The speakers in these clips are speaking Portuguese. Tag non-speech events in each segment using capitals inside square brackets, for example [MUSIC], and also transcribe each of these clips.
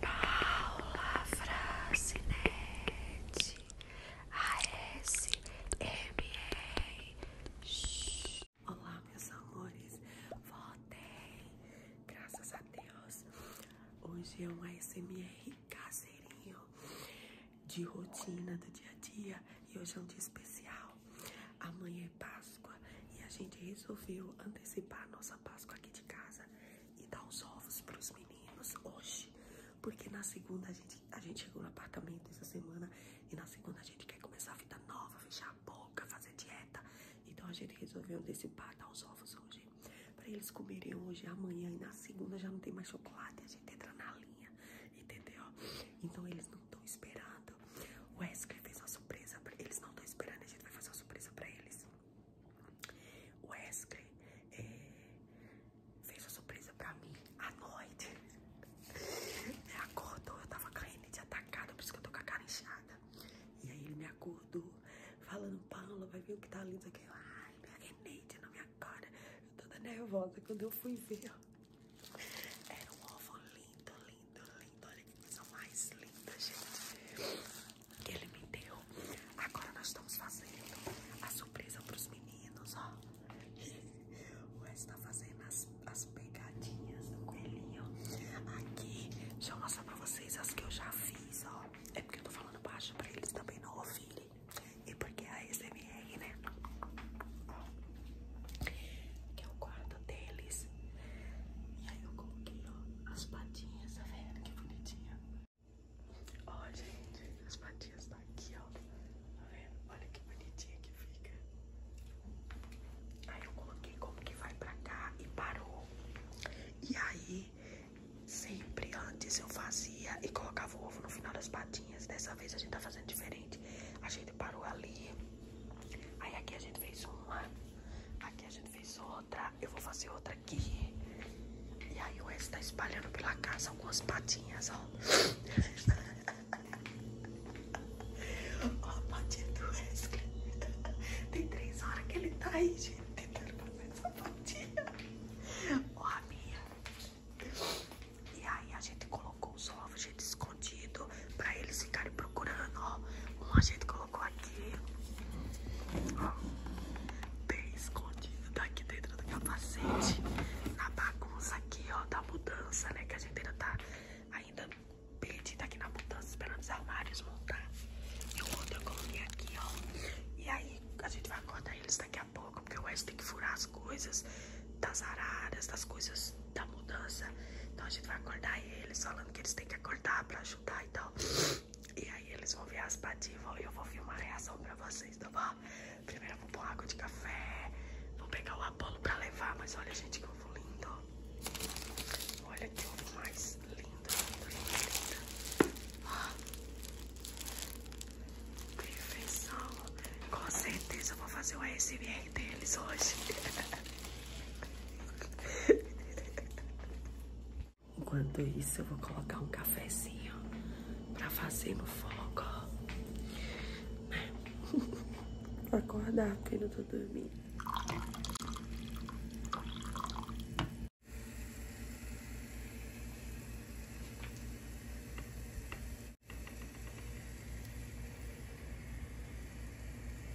Paula Francinete ASMR Olá meus amores, voltei, graças a Deus Hoje é um ASMR caseirinho de rotina do dia a dia e hoje é um dia especial Amanhã é Páscoa e a gente resolveu antecipar a nossa Páscoa aqui de casa e dar os ovos para os meninos hoje. Porque na segunda a gente, a gente chegou no apartamento essa semana e na segunda a gente quer começar a vida nova, fechar a boca, fazer dieta. Então a gente resolveu antecipar, dar os ovos hoje. para eles comerem hoje, e amanhã e na segunda já não tem mais chocolate. A gente entra na linha, entendeu? Então eles não estão esperando. O Wesley fez uma surpresa pra eles, não estão esperando. A gente vai fazer uma surpresa para eles. O Wesley é, fez uma surpresa pra mim à noite. acordou, eu tava caindo de atacado, por isso que eu tô com a cara inchada. E aí ele me acordou, falando, Paula, vai ver o que tá lindo aqui. Eu, Ai, minha Eneide na minha cara. Eu tô toda nervosa quando eu fui ver. Era um ovo lindo, lindo, lindo. Olha que coisa mais linda, gente que ele me deu. Agora nós estamos fazendo a surpresa pros meninos, ó. [LAUGHS] O Wes tá fazendo as, as pegadinhas do coelhinho. Aqui, deixa eu mostrar pra vocês as que eu já fiz, ó. É porque eu tô falando baixo pra eles também não ouvirem. E porque é a SMR, né? Que é o quarto deles. E aí eu coloquei, ó as patinhas, tá vendo? Que bonitinha. Ó, gente, as patinhas tá aqui, ó. Tá vendo? Olha que bonitinha que fica. Aí eu coloquei como que vai pra cá e parou. E aí, sempre antes eu fazia e colocava o ovo no final das patinhas. Dessa vez a gente tá fazendo diferente. A gente parou ali. Aí aqui a gente fez uma. Aqui a gente Fiz outra, eu vou fazer outra aqui. E aí o Enzo tá espalhando pela casa algumas patinhas, ó. [LAUGHS] ó a patinha do Wesley. Tem três horas que ele tá aí, gente, tentando fazer essa patinha. Ó a minha. E aí a gente colocou os ovos, gente, escondido jeito pra eles ficarem procurando, ó. Um gente colocou aqui, ó, bem escondido, tá aqui dentro do capacete, na bagunça aqui, ó, da mudança, né? Que a gente ainda tá ainda perdida aqui na mudança, esperando os armários montar. E o outro eu coloquei aqui, ó. E aí a gente vai acordar eles daqui a pouco, porque o Wes tem que furar as coisas das araras, das coisas da mudança. Então a gente vai acordar eles, falando que eles têm que acordar pra ajudar e tal. E aí eles vão ver as pativas e eu vou filmar a reação pra vocês, tá bom? Primeiro eu vou pôr água de café, vou pegar o Apolo pra levar, mas olha, gente, que ovo lindo. Olha que ovo mais lindo, lindo, lindo, lindo. Ah. Que Com certeza eu vou fazer o ASMR deles hoje. [LAUGHS] [LAUGHS] Enquanto isso, eu vou colocar um cafezinho pra fazer no fogo. Né? [LAUGHS] acordar, que eu não tô dormindo.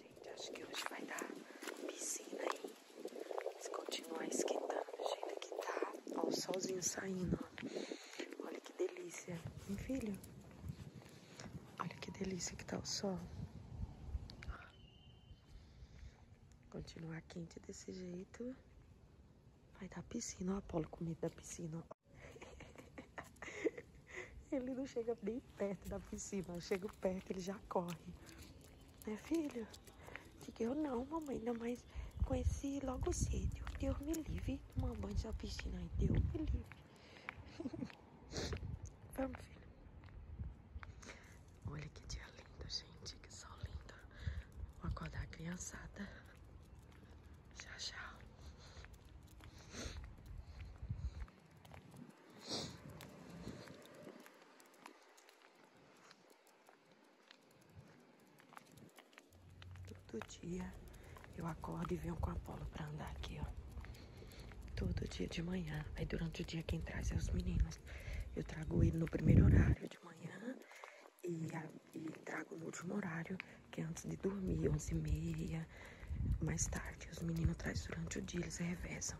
Gente, acho que hoje vai dar piscina aí. Se continuar esquentando do jeito que tá. Ó, o solzinho saindo. Olha que delícia. Meu filho, olha que delícia que tá o sol. Continuar quente desse jeito. Vai da piscina, o Apolo com medo da piscina, Ele não chega bem perto da piscina, ó. Chega perto, ele já corre. Né, filho? Fiquei eu não, mamãe, ainda mais conheci logo cedo. Deus me livre. Tomar banho da piscina aí, Deus me livre. [LAUGHS] Vamos, filho. Olha que dia lindo, gente. Que sol lindo. Vou acordar a criançada. Tchau, tchau. Todo dia eu acordo e venho com a Apolo pra andar aqui, ó. Todo dia de manhã. Aí durante o dia quem traz é os meninos. Eu trago ele no primeiro horário de manhã e, trago no último horário, que é antes de dormir, 11h30, mais tarde. Os meninos trazem durante o dia, eles revezam.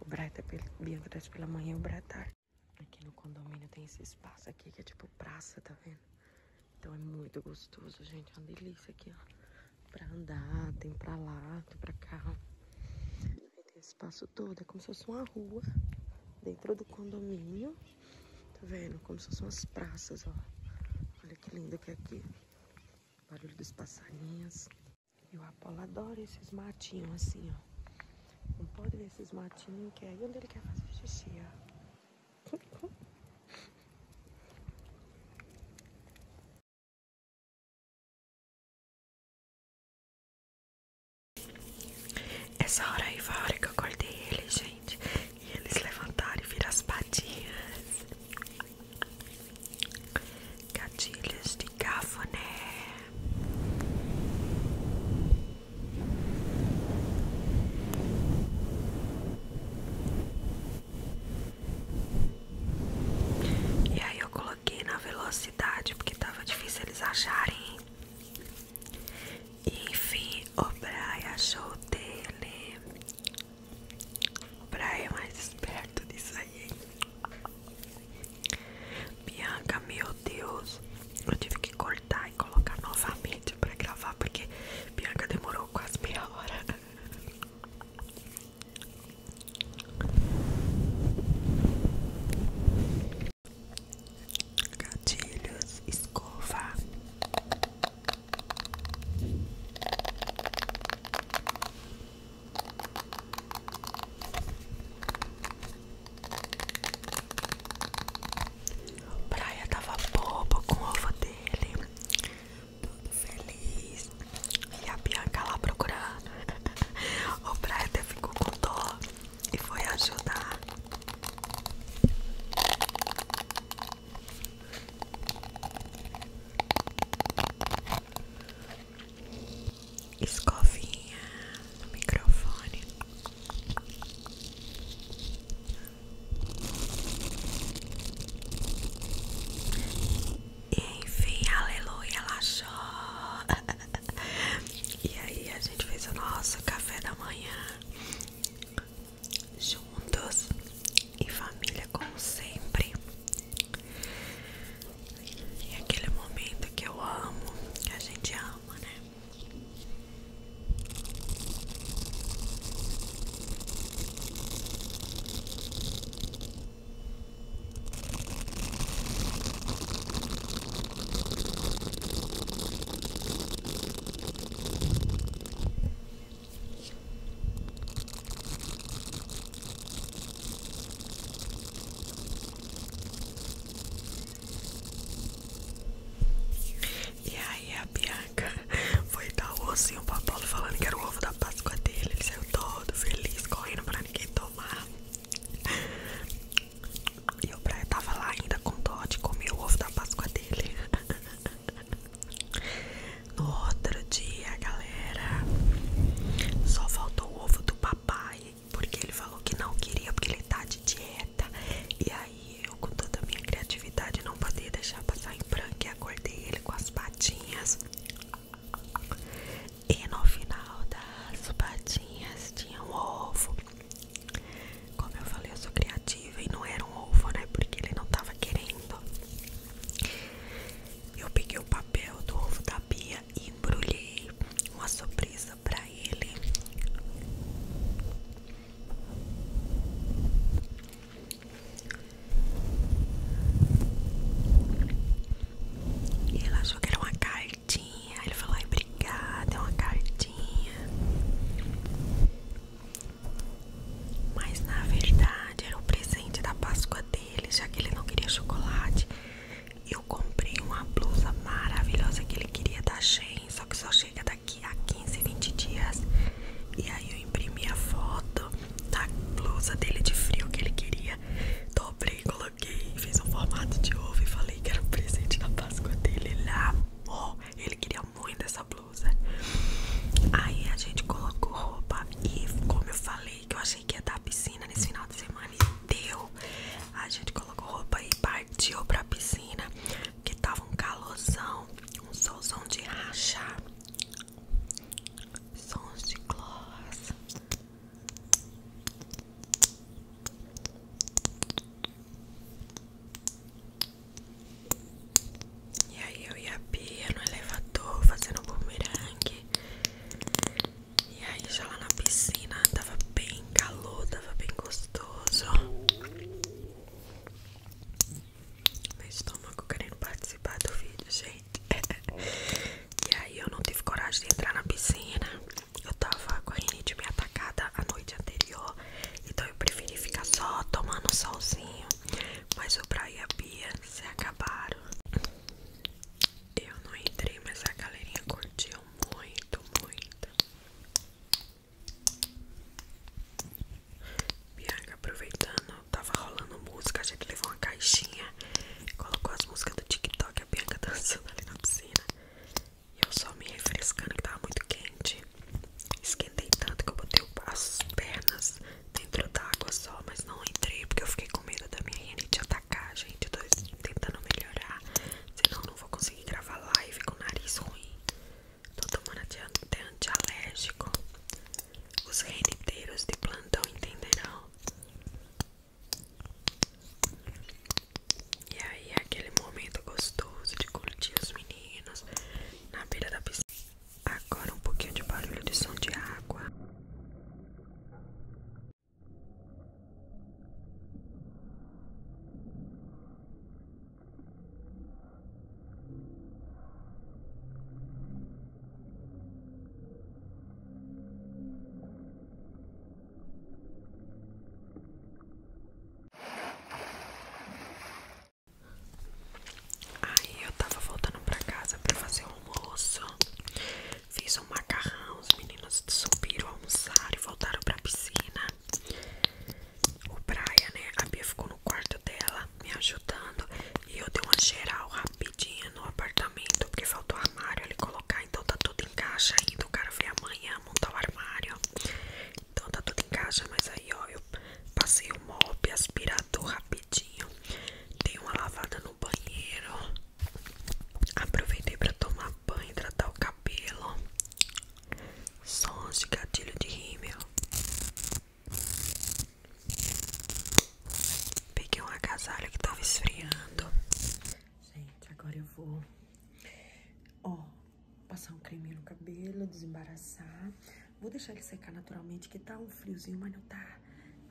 O Brata, tá Bianca traz pela manhã e o Brata tarde. Aqui no condomínio tem esse espaço aqui que é tipo praça, tá vendo? Então é muito gostoso, gente. É uma delícia aqui, ó. Pra andar, tem pra lá, tem pra cá espaço todo, é como se fosse uma rua dentro do condomínio. Tá vendo? Como se fossem umas praças, ó. Olha que lindo que é aqui. O barulho dos passarinhos. E o Apolo adora esses matinhos assim, ó. Não pode ver esses matinhos que é aí onde ele quer fazer xixi, ó. Essa hora aí foi a hora que eu acordei eles, gente. E eles levantaram e viram as patinhas. Gatilhos de cafuné. E aí eu coloquei coloquei na velocidade porque tava difícil eles acharem. enfim, o Brian achou dele. O Brian é mais esperto disso aí. Bianca, meu Deus, eu tive que cortar e colocar novamente para gravar porque Bianca demorou quase meia hora. Gatilhos, escova. O Praia tava bobo com o ovo dele. Tudo feliz. E a Bianca lá procurando. [LAUGHS] O Praia até ficou com dor e foi ajudar. Escovinha no microfone. enfim, aleluia, ela [LAUGHS] [LAUGHS] E aí a gente fez o nosso café da manhã juntos, em família, como sempre. E aquele momento que eu amo, que a gente ama, né? E aí a Bianca [LAUGHS] foi dar o ossinho pra Paulo falando que era o ovo da Páscoa dele. Ele saiu todo feliz, correndo pra ninguém tomar. E o Brian tava lá ainda com dó de comer o ovo da Páscoa dele. [LAUGHS] No outro dia, galera, só faltou o ovo do papai, porque ele falou que não queria, porque ele tá de dieta. E aí eu, com toda a minha criatividade, não podia deixar passar em branco e acordei ele com as patinhas. E no final das patinhas tinha um ovo. Como eu falei, eu sou criativa e não era um ovo, né? Porque ele não tava querendo. Eu peguei o papel do ovo da Bia e embrulhei uma surpresa pra ele. E ela achou que era uma cartinha. Ele falou: Ai, obrigada, é uma cartinha. Mas na verdade era o um presente da Páscoa dele, já que ele não queria chocolate. Eu comprei uma blusa maravilhosa que ele queria da Shein, só que só chega daqui a 15, 20 dias. E aí eu imprimi a foto da blusa dele de frio que ele queria. dobre coloquei, fiz um formato de ovo e falei que era um presente da Páscoa dele. Ele amou, ele queria muito essa blusa. Aí a gente colocou roupa e, como eu falei, que eu achei que ia dar piscina nesse final de semana e deu. A gente colocou roupa e partiu pra piscina, que tava um calorzão, um solzão de rachar. Sons de gloss e aí eu e a Bia no elevador fazendo bumerangue. E aí já lá na piscina tava bem calor, tava bem gostoso. Meu estômago querendo participar do vídeo, gente. [LAUGHS] e aí eu não tive coragem de entrar na piscina. Eu tava com a rinite me atacada a noite anterior. Então eu preferi ficar só tomando solzinho. Mas o Bra e a Bia se acabaram. Eu não entrei, mas a galerinha curtiu muito, muito. Bianca aproveitando tava rolando música, a gente levou uma caixinha, colocou as músicas do TikTok, a Bianca dançando ali na piscina. E eu só me refrescando que tava muito quente. Esquentei tanto que eu botei as pernas dentro d'água só, mas não entrei porque eu fiquei com medo da minha rinite atacar, gente. Eu tô tentando melhorar, senão não vou conseguir gravar live com o nariz ruim. Tô tomando até antialérgico. Os reniteiros de plantão entenderão. E aí aquele momento gostoso de curtir os meninos na beira da piscina. Agora um pouquinho de barulho de som de água. Aí eu tava voltando pra casa pra fazer o almoço. Fiz um macarrão, os meninos subiram, almoçaram e voltaram pra piscina. O Praia, né? A Bia ficou no quarto dela me ajudando. E eu dei uma geral rapidinha no apartamento, porque faltou armário ali colocar, então tá tudo em caixa ainda. O cara veio é, amanhã montar o armário. Então tá tudo em caixa, mas aí ó, eu passei o mop, aspirador rapidinho. Dei uma lavada no banheiro. Aproveitei pra tomar banho, hidratar o cabelo. Sons de gatilho de rímel. Peguei um agasalho que tava esfriando. Gente, agora eu vou, ó, passar um creme no cabelo, desembaraçar. Vou deixar ele secar naturalmente, que tá um friozinho, mas não tá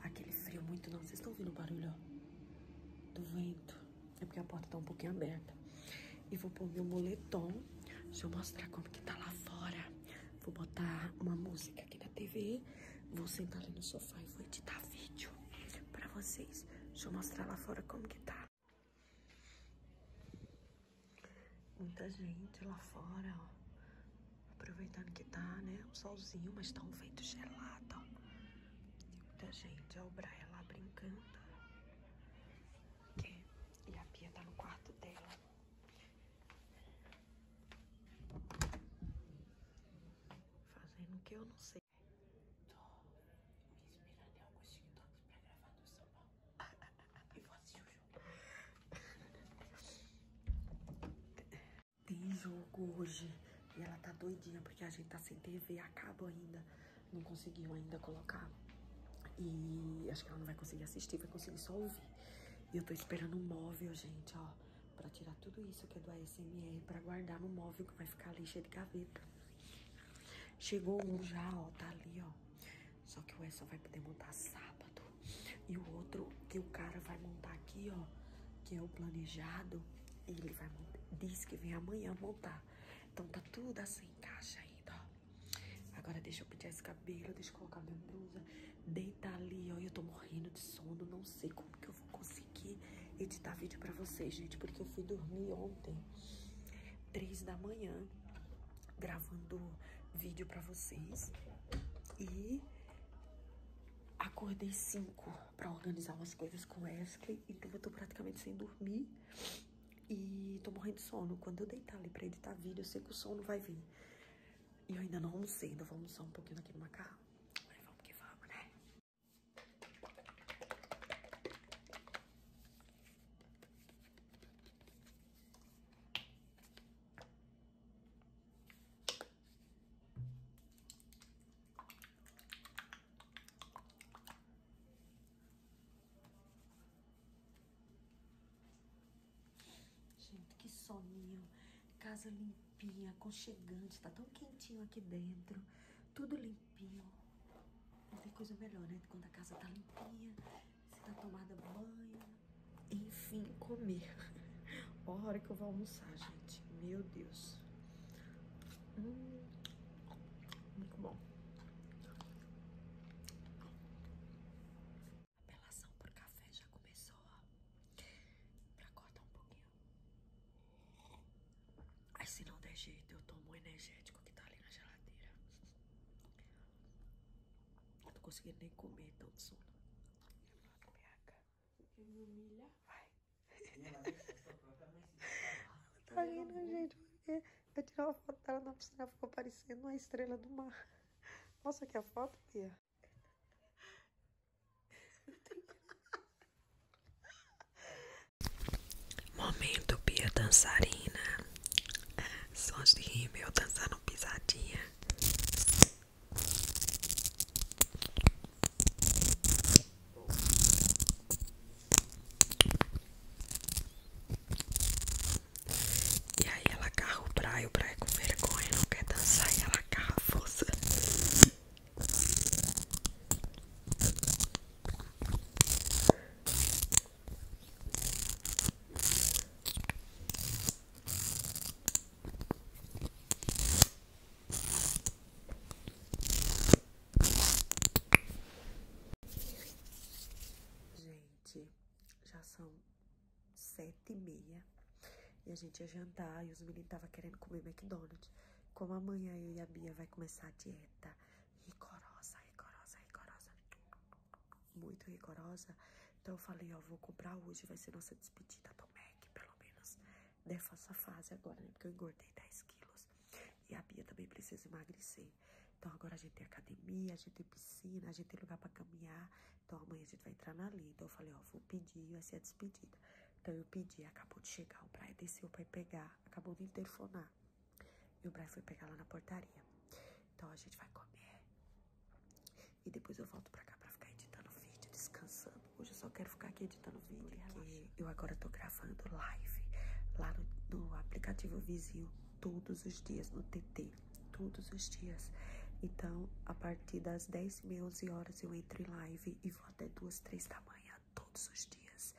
aquele frio muito não. Vocês estão ouvindo o barulho, ó, do vento. É porque a porta tá um pouquinho aberta. E vou pôr meu moletom. Deixa eu mostrar como que tá lá fora. Vou botar uma música aqui na TV. Vou sentar ali no sofá e vou editar vídeo pra vocês. Deixa eu mostrar lá fora como que tá. Muita gente lá fora, ó. Aproveitando que tá, né? Um solzinho, mas tá um vento gelado, ó. Muita gente. Ó, o Braia lá brincando. E a Pia tá no quarto dela. Fazendo o que eu não sei. Tô me inspirando em alguns TikToks pra gravar no São [LAUGHS] Tem jogo hoje. E ela tá doidinha porque a gente tá sem TV a cabo ainda. Não conseguiu ainda colocar. E acho que ela não vai conseguir assistir, vai conseguir só ouvir. E eu tô esperando um móvel, gente, ó. Pra tirar tudo isso que é do ASMR. Pra guardar no móvel que vai ficar lixo de gaveta. Chegou um já, ó. Tá ali, ó. Só que o só vai poder montar sábado. E o outro que o cara vai montar aqui, ó. Que é o planejado. Ele vai montar. Diz que vem amanhã montar. Então tá tudo assim, caixa ainda, Agora deixa eu pentear esse cabelo, deixa eu colocar minha blusa, deitar ali, ó. Eu tô morrendo de sono, não sei como que eu vou conseguir editar vídeo pra vocês, gente. Porque eu fui dormir ontem, três da manhã, gravando vídeo pra vocês. E acordei 5 para organizar umas coisas com o Wesley, então eu tô praticamente sem dormir e tô morrendo de sono. Quando eu deitar ali pra editar vídeo, eu sei que o sono vai vir. E eu ainda não almocei, ainda então vou almoçar um pouquinho naquele macarrão. Mas vamos que vamos, né? Gente, que soninho. Casa limpinha, aconchegante. Tá tão quentinho aqui dentro. Tudo limpinho. Não tem coisa melhor, né? Quando a casa tá limpinha, você tá tomada banho. Enfim, comer. Olha [LAUGHS] hora que eu vou almoçar, gente. Meu Deus. Hum, muito bom. A apelação por café já começou, ó. Pra cortar um pouquinho. Aí se não der jeito, eu tomo o energético que tá ali na geladeira. Eu tô conseguindo nem comer tanto sono. Minha Que humilha. Vai. Tá rindo, gente, porque eu tirava uma foto dela na piscina, ficou parecendo uma estrela do mar. [LAUGHS] Nossa aqui a foto, Bia. [LAUGHS] Momento, Pia dançarina. Sons de rímel dançando pisadinha. E aí ela agarra o Braia, o Braia é com vergonha, não quer dançar e ela agarra a força gente, já são sete e meia. E a gente ia jantar e os meninos estavam querendo comer McDonald's. Como amanhã eu e a Bia vai começar a dieta rigorosa, rigorosa, rigorosa. Muito rigorosa. Então eu falei, ó, vou comprar hoje, vai ser nossa despedida do Mac, pelo menos dessa né, fase agora, né? Porque eu engordei 10 quilos. E a Bia também precisa emagrecer. Então agora a gente tem academia, a gente tem piscina, a gente tem lugar para caminhar. Então amanhã a gente vai entrar na lei. Então eu falei, ó, vou pedir, vai ser a despedida. Então eu pedi, acabou de chegar, o Brian desceu para ir pegar, acabou de interfonar. E o Brian foi pegar lá na portaria. Então a gente vai comer. E depois eu volto pra cá pra ficar editando vídeo, descansando. Hoje eu só quero ficar aqui editando vídeo. Porque eu agora tô gravando live lá no, no aplicativo vizinho todos os dias no TT, todos os dias. Então, a partir das 10 e 11 horas eu entrei em live e vou até duas três da manhã, todos os dias.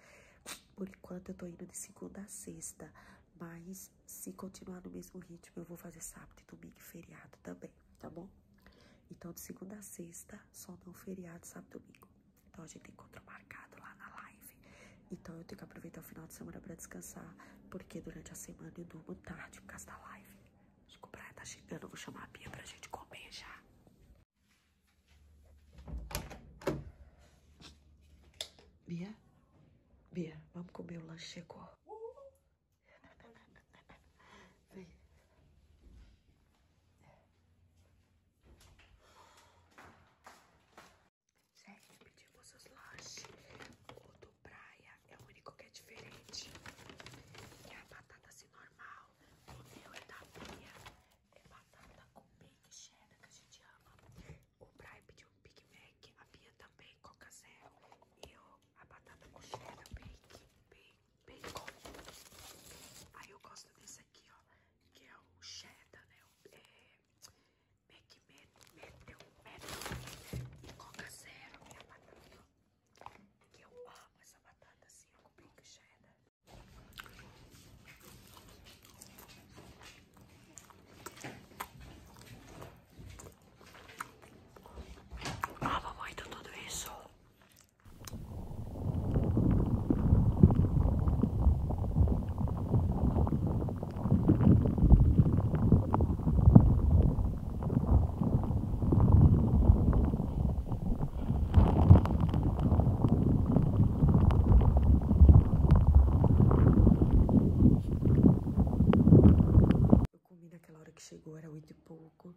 Por enquanto eu tô indo de segunda a sexta, mas se continuar no mesmo ritmo eu vou fazer sábado e domingo e feriado também, tá bom? Então, de segunda a sexta, só não feriado, sábado e domingo. Então a gente encontra encontro marcado lá na live. Então eu tenho que aproveitar o final de semana para descansar, porque durante a semana eu durmo tarde por causa da live. Acho que o Brian tá chegando, eu vou chamar a Bia pra gente comer já. Bia? Bia, vamos comer, o lanche chegou. Uhum. Vem. Gente, pedi vocês lanches. O do praia é o único que é diferente. É a batata assim normal. O meu é da Bia. É batata com bacon cheddar que a gente ama. O praia pediu um Big Mac. A Bia também, Coca Zero. eu, a batata com cheddar, bacon, bacon. Aí eu gosto desse aqui, ó. Que é o cheddar, né? é, Mac meteu meteu coca zero minha batata. Que eu amo essa batata assim, eu comprei cheddar. Amo ah, então muito tudo isso. Eu comi naquela hora que chegou, era oito e pouco.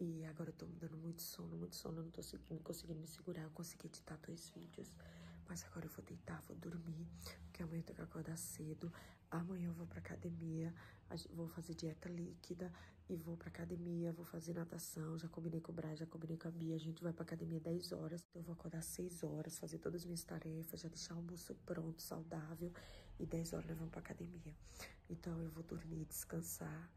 E agora eu tô me dando muito sono, muito sono. não tô conseguindo me segurar. Eu consegui editar dois vídeos. Mas agora eu vou deitar, vou dormir, porque amanhã eu tenho que acordar cedo. Amanhã eu vou pra academia, vou fazer dieta líquida e vou pra academia, vou fazer natação. Já combinei com o Brian, já combinei com a Bia. A gente vai pra academia 10 horas. Então, eu vou acordar 6 horas, fazer todas as minhas tarefas, já deixar o almoço pronto, saudável. E 10 horas nós vamos pra academia. Então eu vou dormir, descansar,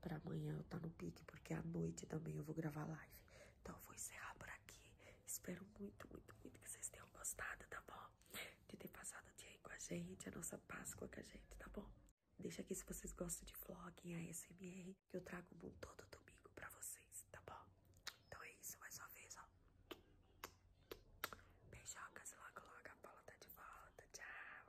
pra amanhã eu estar tá no pique, porque à noite também eu vou gravar live breve. Então, vou encerrar por aqui. Espero muito, muito, muito que vocês tenham gostado, tá bom? De ter passado o dia aí com a gente, a nossa Páscoa com a gente, tá bom? Deixa aqui se vocês gostam de vlog, ASMR, que eu trago um todo domingo pra vocês, tá bom? Então é isso, mais uma vez, ó. Beijocas, logo, logo a Paula tá de volta. Tchau.